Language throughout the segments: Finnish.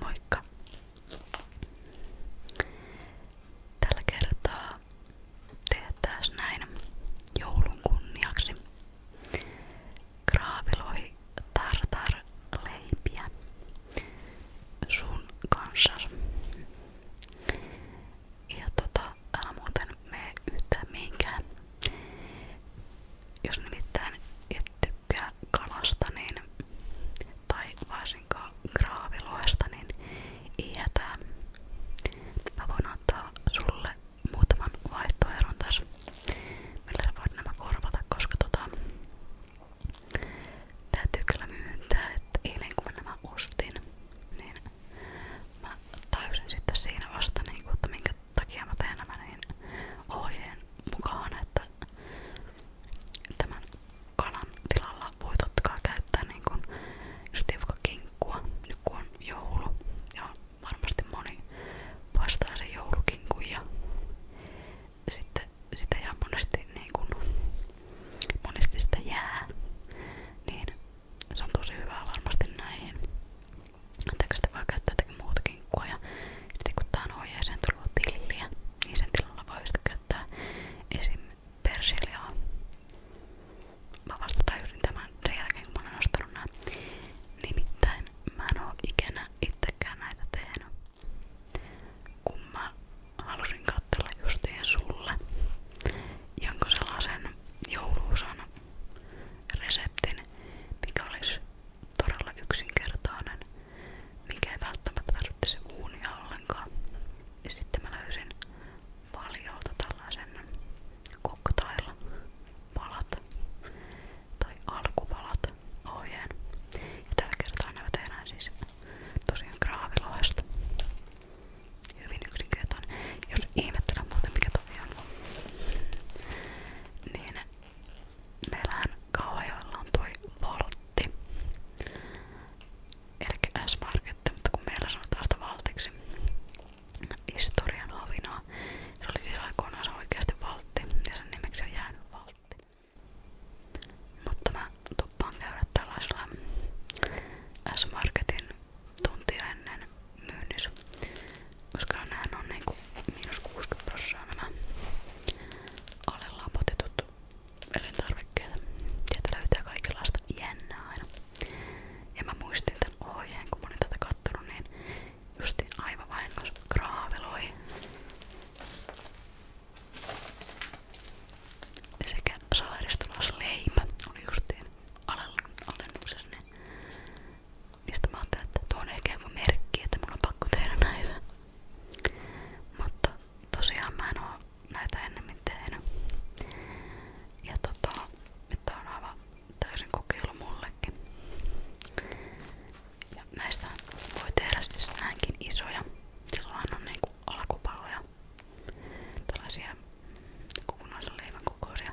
Moikka! Tällä kertaa teettäis näin joulun kunniaksi graaviloi tartarleipiä kanssa. Ja tota, muuten mene yhtään mihinkään. Jos nimittäin et tykkää kalasta, niin- tai varsinkaan graaviloista, niin ei hätää. Mä voin antaa sulle muutaman vaihtoehdon tässä, millä sä voit nämä korvata, koska tota, täytyy kyllä myöntää, että eilen kun mä nämä ostin, niin mä tajusin sitten siinä vasta, niin kun, että minkä takia mä teen nämä niin ohjeen mukaan, että tämän kalan tilalla voi totta kai käyttää niin kun, just vaikka kinkkua, nyt kun on joulu ja varmasti moni vastaa sen joulukinkun ja sitten sitä ihan monesti, niin kun, monesti sitä jää, niin se on tosi hyvää varmasti näihin. Anteeksi, sitä voi käyttää jotakin muuta kinkkua ja sitten kun tää on ohjeeseen tullut tilliä, niin sen tilalla voi sitä käyttää esim persiljaa. Mä vasta tajusin tämän sen jälkeen, kun mä olen ostanut nää. Nimittäin mä en oo ikinä itsekään näitä tehnyt. Kun mä halusin katsella justiin sulle jonkun sellaisen jouluusan reseptin, mikä olisi todella yksinkertainen, mikä ei välttämättä tarvitsisi uunia ollenkaan. Ja sitten mä löysin paljolta tällaisen cocktail palat tai alkupalat ohjeen. Ja tällä kertaa nämä tehdään siis tosiaan graavilohesta. Hyvin yksinkertainen. Jos ihmettelen muuten mikä toi on, niin meillähän Kauhajoella on toi Voltti eli S-marketti, mutta kun meillä sanotaan sitä valtiksi historian hovinaa, se oli siis aikoinaan se oikeasti valtti ja sen nimeksi on jäänyt valtti. Mutta mä tuppaan käydä tällaisella S-marketin tuntia ennen myynnissä, koska näähän on niinku miinus 60 prosenttia nämä alle lapotetut elintarvikkeita. Sieltä löytää kaikenlaista jännää aina. Ja mä muistin tän ohjeen, kun mä olin tätä kattonut, niin justiin aivan vahingossa graaveloi. Sekä saaristolaisleipä oli justiin alennuksessa, niin mistä mä ajattelin, että tuo on ehkä joku merkki, että mun on pakko tehdä näitä. Mutta tosiaan mä en oo näitä ennemmin tehnyt. Ja tota, että on aivan täysin kokeilu mullekin. Ja näistä voi tehdä siis näinkin isoja. Silloinhan on niinku alkupaloja. Tällaisia kokonaisen leivän kokoisia.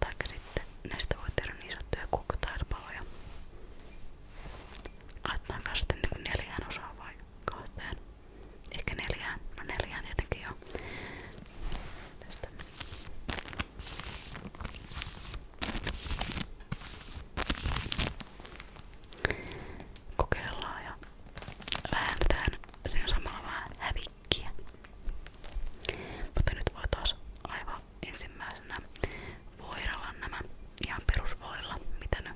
Taikka sitten näistä voi tehdä niin sanottuja kukkotaispaloja. Laitetaanko sitten niinku neljään osaan vai kahteen? Ehkä neljään. No neljään tietenkin joo. Tästä. Kokeillaan ja väännetään siinä samalla vähän hävikkiä. Mutta nyt voi taas aivan ensimmäisenä voidella nämä ihan perusvoilla, mitä ne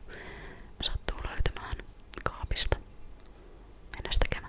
sattuu löytämään kaapista. Mennään sitä käymään.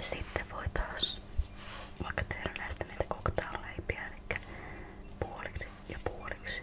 Sitten voi taas vaikka tehdä näistä niitä koktailleipiä, eli puoliksi ja puoliksi.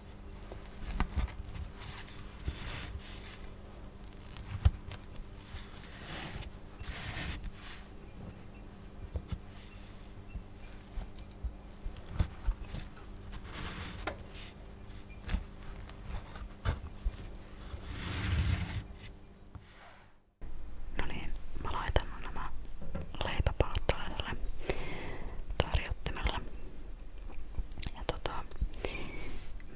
No niin, mä laitan nämä leipäpalat tällaiselle tarjottimelle. Ja tota,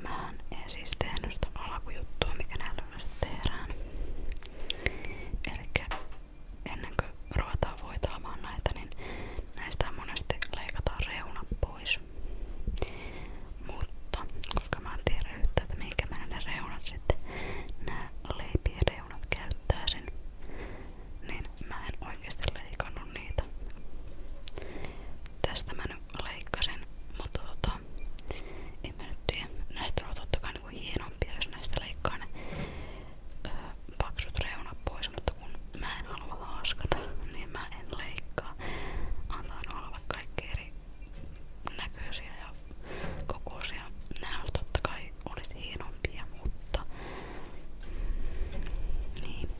mä en siis tehnyt sitä alkujuttua, mikä näillä yleensä tehdään. Elikkä ennen kuin ruvetaan voitaamaan näitä, niin näistä monesti leikataan reuna pois. Mutta koska mä en tiedä yhtä, että minkä mä ne reunat sitten, nää leipien reunat käyttäisin, niin mä en oikeasti leikannut niitä. Tästä mä nyt leikkasin, mutta tota, en mä nyt tiedä. Näistä on totta kai niinku hienompia, jos näistä leikkaa ne öö, paksut reunat pois, mutta kun mä en halua haaskata, niin mä en leikkaa. Antaa olla kaikki eri näköisiä ja kokoisia. Nämä totta kai olisi hienompia, mutta niin.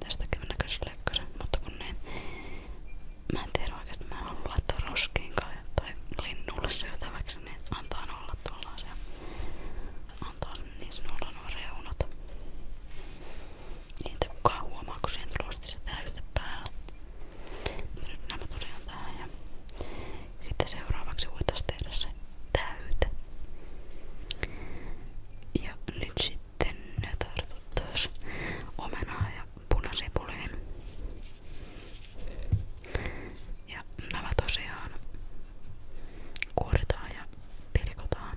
Tästäkin mä näköisin leikkasin, mutta kun ne... Mä en tiedä oikeesti, mä en halua laittaa roskiinkaan tai linnulle syötäväksi, niin antaa olla tuollaisia. Antaa niissä olla nuo reunat. Niitä kukaan huomaa, kun siihen tulee se täyte päällä. Nyt nämä tosiaan tähän ja sitten seuraavaksi voitaisiin tehdä sen täyte. Ja nyt sitten tartuttaisiin omenaa ja punasipuliin. Ja nämä tosiaan kuoritaan ja pilkotaan.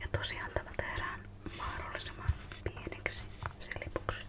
Ja tosiaan tämä tehdään mahdollisimman pieneksi se lipuksi.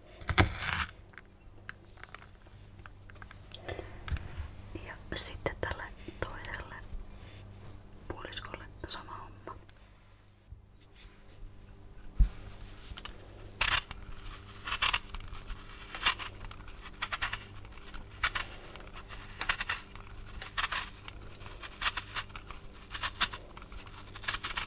Ja sitten tälle toiselle puoliskolle sama homma.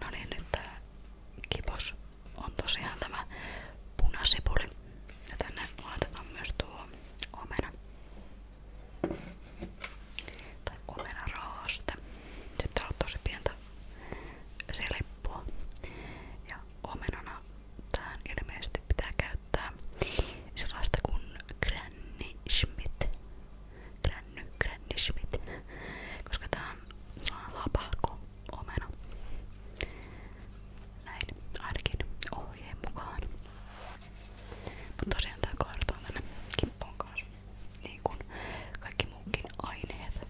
No niin, nyt tää kipos on tosiaan tämä punasipuli. Ja tänne laitetaan myös tuo omena. Tai omenaraaste. Sitten täällä on tosi pientä selippua. Ja omenana Tähän ilmeisesti pitää käyttää sellaista kuin Granny Schmidt. Granny, Granny Schmidt. Koska tää on lapahko omena. Näin ainakin ohjeen mukaan. Mutta tosiaan tää kaartaa tänne kippoon kanssa. Niin kuin kaikki muukin aineet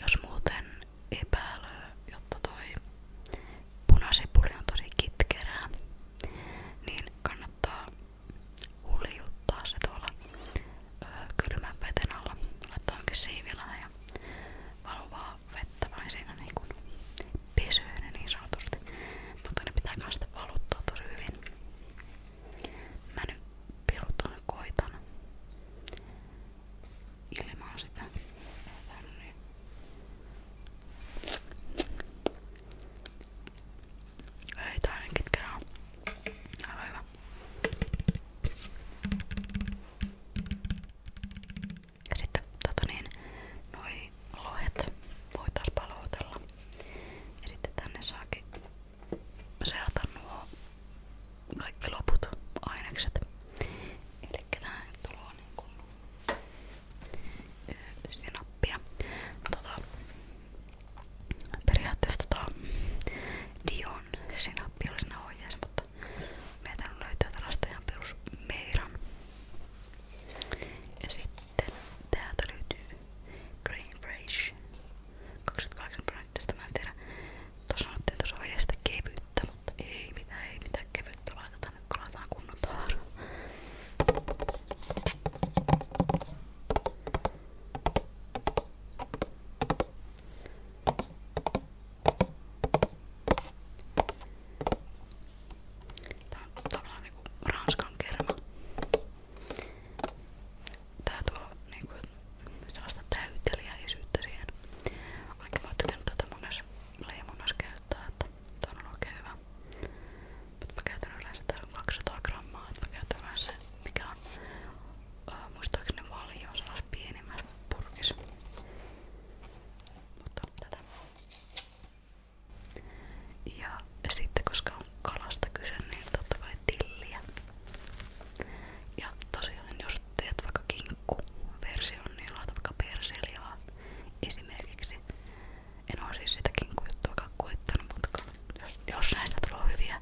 jos muuten epäilöö, jotta toi punasipuli on tosi kitkerää, niin kannattaa huljuttaa se tuolla ö, kylmän veten alla. Laittaa onkin siivilää ja valuvaa vettä vain siinä niin kuin pesyy ne niin sanotusti. Mutta ne pitää kanssa sitä valuttaa tosi hyvin. Mä nyt pirutan koitan ilmaan sitä tänne. Ei tää ainakin kerran. Aivan hyvä. Ja sitten tota niin, noi lohet voi taas paloutella. Ja sitten tänne saakin seata nuo kaikki loput ainekset. Eli tähän tulee niinku sinappia. Tota, periaatteessa tota, Dion sinappi oli siinä ohjeessa, mutta meiltä löytyy tällaista ihan perus meiran. Ja sitten täältä löytyy Green Fresh 28 tästä Tuossa sanottiin tuossa ohjeesta kevyyttä, mutta ei mitään, ei mitään kevyyttä laiteta nyt kun laitetaan kunnon tavaraa. Tää on tavallaan niinku ranskan kerma tää tuo niinku sellaista täytelijäisyyttä siihen. Vaikka mä oon tykännyt tätä monessa leimunnassa käyttää, että tää on ollut oikein hyvä. Mut mä käytän yleensä tässä on 200 grammaa, että mä käytän vähän se mikä on äh, muistaakseni valio sellaisessa pienemmässä purkissa. Mutta tätä. Ja sitten koska on kalasta kyse, niin totta kai tilliä. Ja tosiaan jos teet vaikka kinkkuversion, niin laita vaikka persiliaa esimerkiksi. En oo siis sitä kinkkujuttua koittanut, mutta jos, jos näistä tulee hyviä,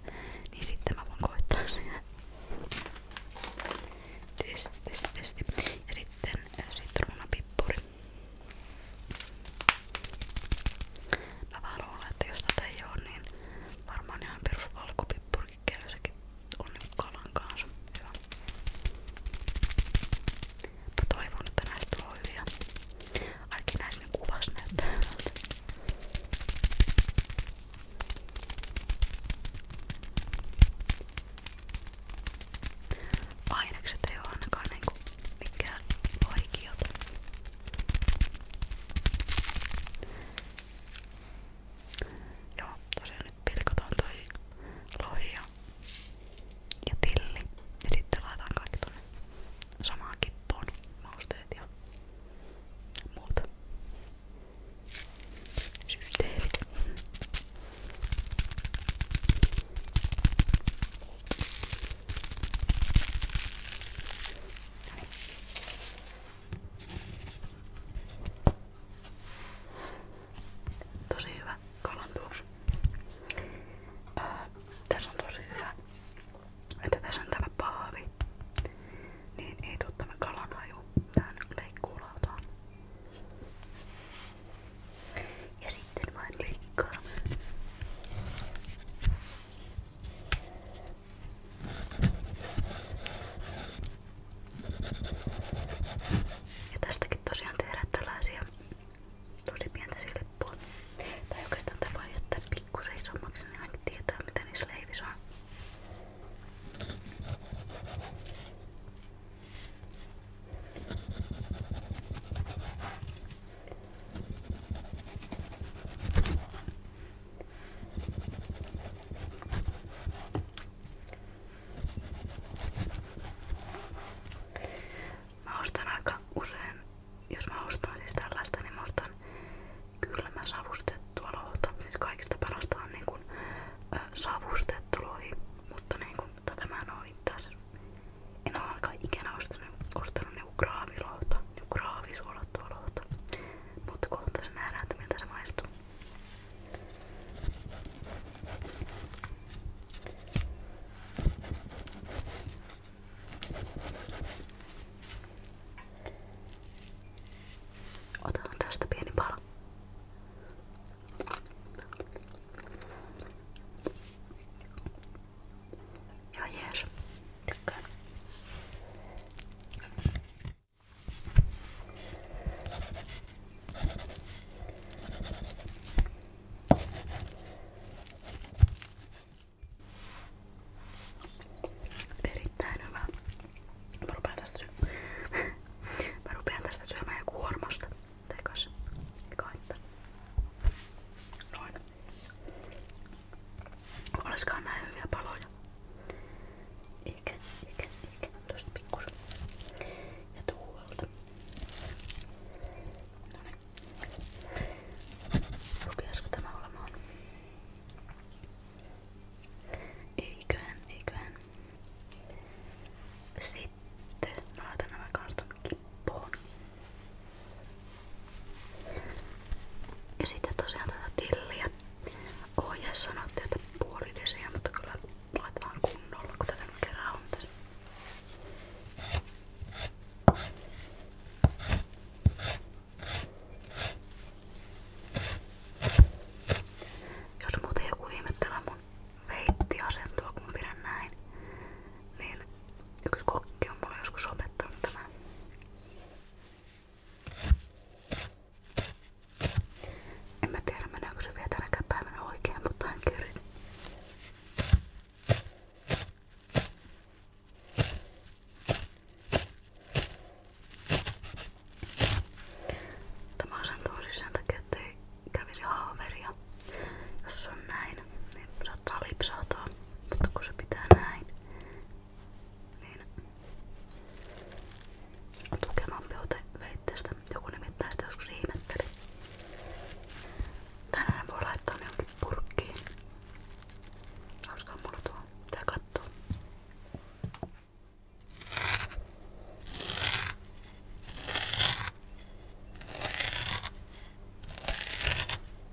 niin sitten mä voin koittaa sitä. Testi, testi, testi. Ja sitten äh, sitruunapippuri. Mä vaan luulen, että jos tätä ei oo, niin varmaan ihan perusvalkopippuri purkikäysäkin on niinku kalan kanssa hyvä. Mä toivon, että näistä on hyviä. Ainakin näistä ne kuvas näyttää hyvältä. Ainekset ei oo ainakaan niinku mikään vaikiota. Joo, tosiaan nyt pilkotaan toi lohi ja, ja tilli ja sitten laitetaan kaikki tonne samaan kippoon mausteet ja muut systeemit. Näin. Tosi hyvä kalan tuoksu. Öö, tässä on tosi hyvä, että tässä on tämä paavi, niin ei tule tämä kalan haju tähän leikkuulautaan. Ja sitten vain leikkaa. Ja tästäkin tosiaan tehdään tällaisia tosi pientä silppua. Tai oikeastaan tämä voi jättää pikkusen isommaksi, niin ainakin tietää mitä niissä leivissä on. Mä usein, jos mä ostan siis tällaista, niin savustettua lohta. Siis parasta on niin kuin, mutta niin tätä mä en En oo ikinä ostanut, ostanut niinku graavilohta, niinku graavisuola lohtua lohta. Mutta kohta se nähdään, että miltä se maistuu. Otetaan tästä pieni pala. Ja jees. Tykkään. Erittäin hyvä. Mä rupean tästä, sy Mä rupean tästä syömään joku kuormasta. Tekas. Eikä haittaa. Noin. Olisikaan näin hyviä paloja. Eikä, eikä, eikä. Tuosta pikkusen. Ja tuolta. No niin. Rupiasko tämä olemaan? Eiköhän, eiköhän. Sitten mä laitan nämä karton kippoon. Ja sitten tosiaan tätä tilliä. Ohjeessa sanottiin, että puoli desiä, mutta kyllä laitetaan kunnolla, kun tätä kerran on tässä. Jos muuten joku ihmettelee mun veittiasentoa, kun pidän näin, niin yksi kokki on mulle joskus opettanut tämän. En mä tiedä meneekö se vielä tänäkään päivänä oikein, mutta ainakin yritin. Tämä asentuu siis sen takia, ettei kävisi haaveria. Jos on näin, niin saattaa lipsahtaa, mutta kun se pitää näin, niin tukevampi ote veitteestä. Joku nimittäin sitä joskus ihmetteli. Tänään voi laittaa ne jonkin purkkiin. Olisikohan mulla tuo? Tää kattoo. Tää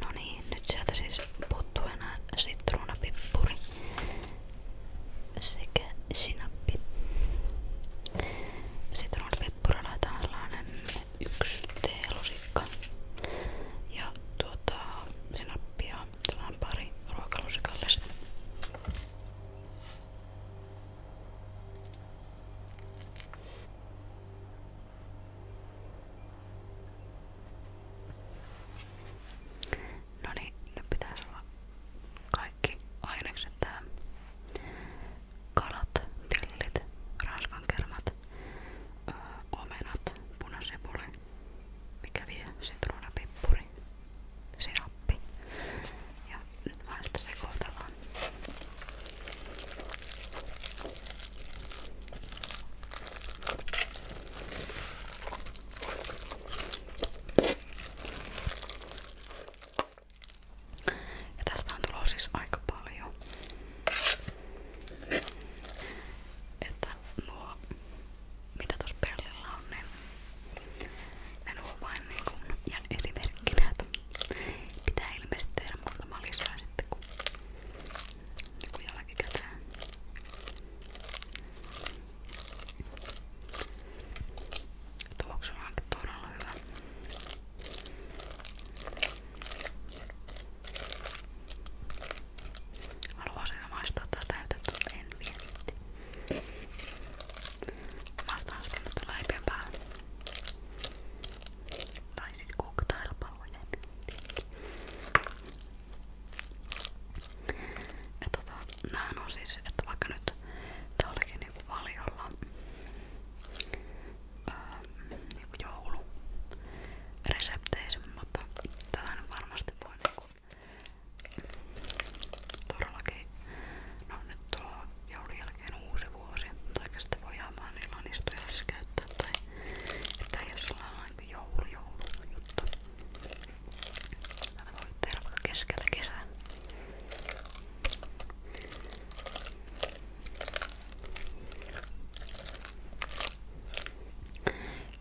No niin, nyt sieltä siis puuttuu enää sitruunapippuri sekä sinappi. Sitten on peppura laitetaan sellainen yksi teelusikka ja tuota sinappia sellainen pari ruokalusikallista. No niin, nyt pitäisi olla kaikki ainekset tähän kalat, tellit, raaskankermat, öö, omenat, punasipuli, mikä vie sitruunapippuri, sinappi. Ja nyt vaan sitä sekoitellaan. Ja tästä on tullut siis aika paljon. Että nuo, mitä tuossa pellillä on, niin ne nuo vain niin kuin ihan esimerkkinä, että pitää ilmeisesti tehdä muutama lisää sitten, kun, kun jälkikäteen. Tuoksu on todella hyvä. Mä luvasin maistaa tää täytettä, mutta en vietti. Maistaan sitä nyt läipien päälle. Tai sit cocktailpalojen. Ja tota, näähän on siis, että vaikka nyt tää olikin niinku valiolla ää, niinku jouluresepteissä, mutta tätä nyt varmasti voi niinku todellakin, no nyt tuo joulun jälkeen uusi vuosi, tai sitten voi ihan vaan niillä anistujassa siis käyttää, tai että ei ole sellainen niinku joulu, joulu juttu. Tätä voi tehdä vaikka keskellä kesää.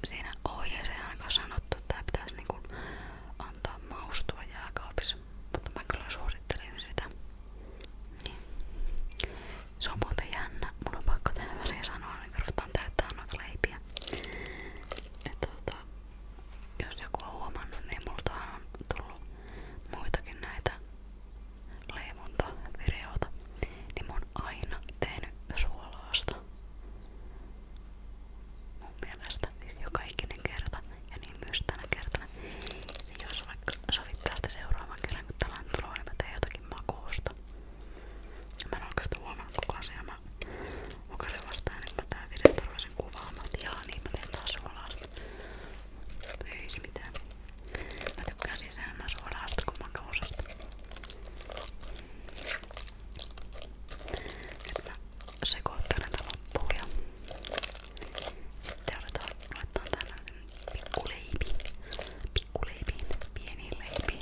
Siinä ohjeessa ei ainakaan sanottu, että tää pitäisi niinku antaa maustua jääkaapissa, mutta mä kyllä suosittelin sitä. Niin. Se on muuten jännä. Mun on pakko tähän väliin sanoa, niin kun ruvetaan täyttää noita leipiä. Et, tota, jos joku on huomannut, niin multahan on tullut muitakin näitä leivontavideoita, niin mä oon aina tehnyt suolaasta. Mun mielestä siis joka ikinen kerta ja niin myös tänä kertana. Niin jos vaikka sovittaa sitä seuraavan kerran, kun tällainen tulee, niin mä teen jotakin makuusta. Mä en oikeastaan huomannut koko asiaa. Mä mukasin vastaan, että niin mä tää video sen kuvaan. Mä otin, jaa, niin mä teen taas suolaasta. Ei se mitään. Mä tykkään siis enemmän suolaasta kuin makausasta. Nyt mä sekoitan näitä loppuun ja sitten otetaan, laitetaan tällainen pikkuleipi. Pikkuleipiin, pieniin leipiin.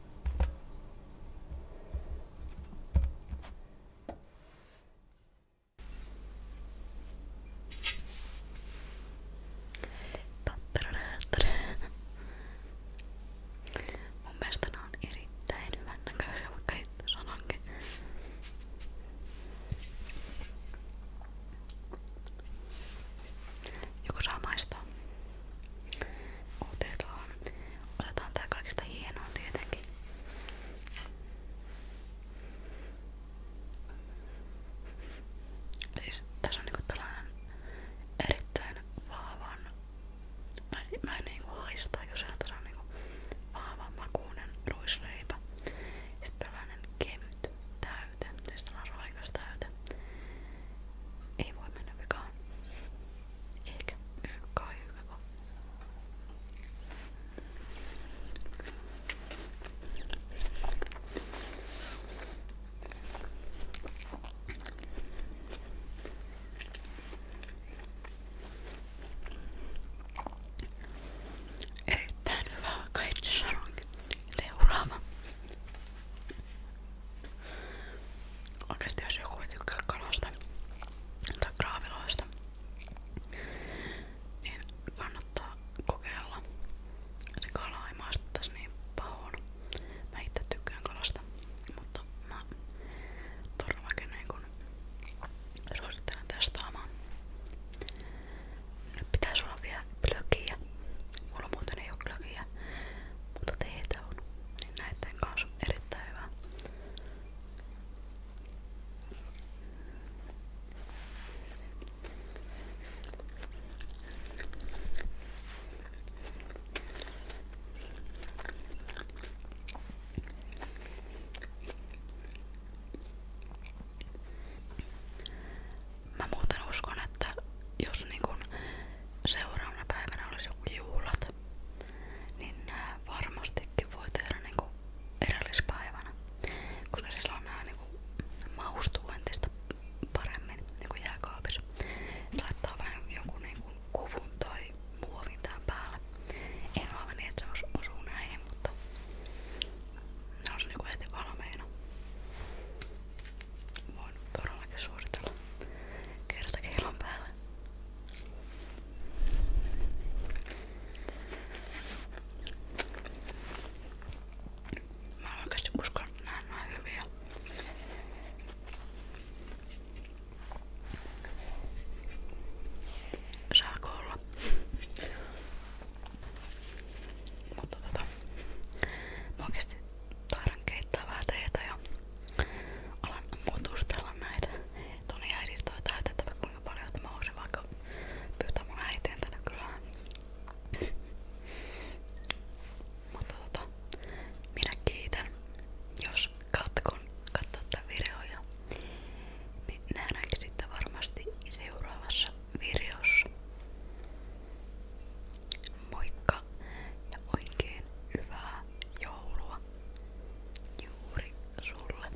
Mun mielestä ne on erittäin hyvän näköisiä, vaikka itse sanonkin. Joku saa maistaa. Otetaan. Otetaan tää kaikista hienoa tietenkin. Siis tässä on niinku tällainen erittäin vaavan, mä en, mä en niinku haista jos tässä on niinku vaavan makuinen ruisleipä. Sitten tällainen kevyt, täys täyte. Tästä on raikas täyte. Ei voi mennä vikaan. Eikä ykkää ykkää. Erittäin hyvä, kaikki sanonkin. Seuraava. Oikeesti jos joku ei tykkää kalasta tai kraaviloista, niin kannattaa kokeilla. Se kala ei maistu tässä niin pahoon. Mä itse tykkään kalasta, mutta mä todellakin niin kun suosittelen testaamaan. Nyt pitäis olla vielä glögiä. Mulla muuten ei oo glögiä, mutta teitä on. Niin näiden kanssa on erittäin hyvä mä muuten uskon, että jos niin kun seuraavana päivänä olisi joku juhlat, niin nää varmastikin voi tehdä niin kun edellispäivänä, koska silloin nää niin kun maustuu entistä paremmin niin kun jääkaapissa. Se laittaa vähän jonkun niin kun kuvun tai muovin tää päälle. Ei ole aivan niin, että se osuu näihin, mutta ne on se niinku heti valmiina voin todellakin suositella kertakeilon päällä. Mä oikeesti uskon, että nää on Saako Mutta tota, mä oikeesti taidan keittää vähän teetä ja alan mutustella näitä. Toni jäi siis toi täytettävä kuinka paljon, että mä voisin vaikka pyytää mun äiteen tänne kylään. Mutta tota, minä kiitän, jos kautta kun katsot tämän videon ja niin nähdäänkin sitten varmasti seuraavassa videossa. Moikka ja oikein hyvää joulua juuri sulle.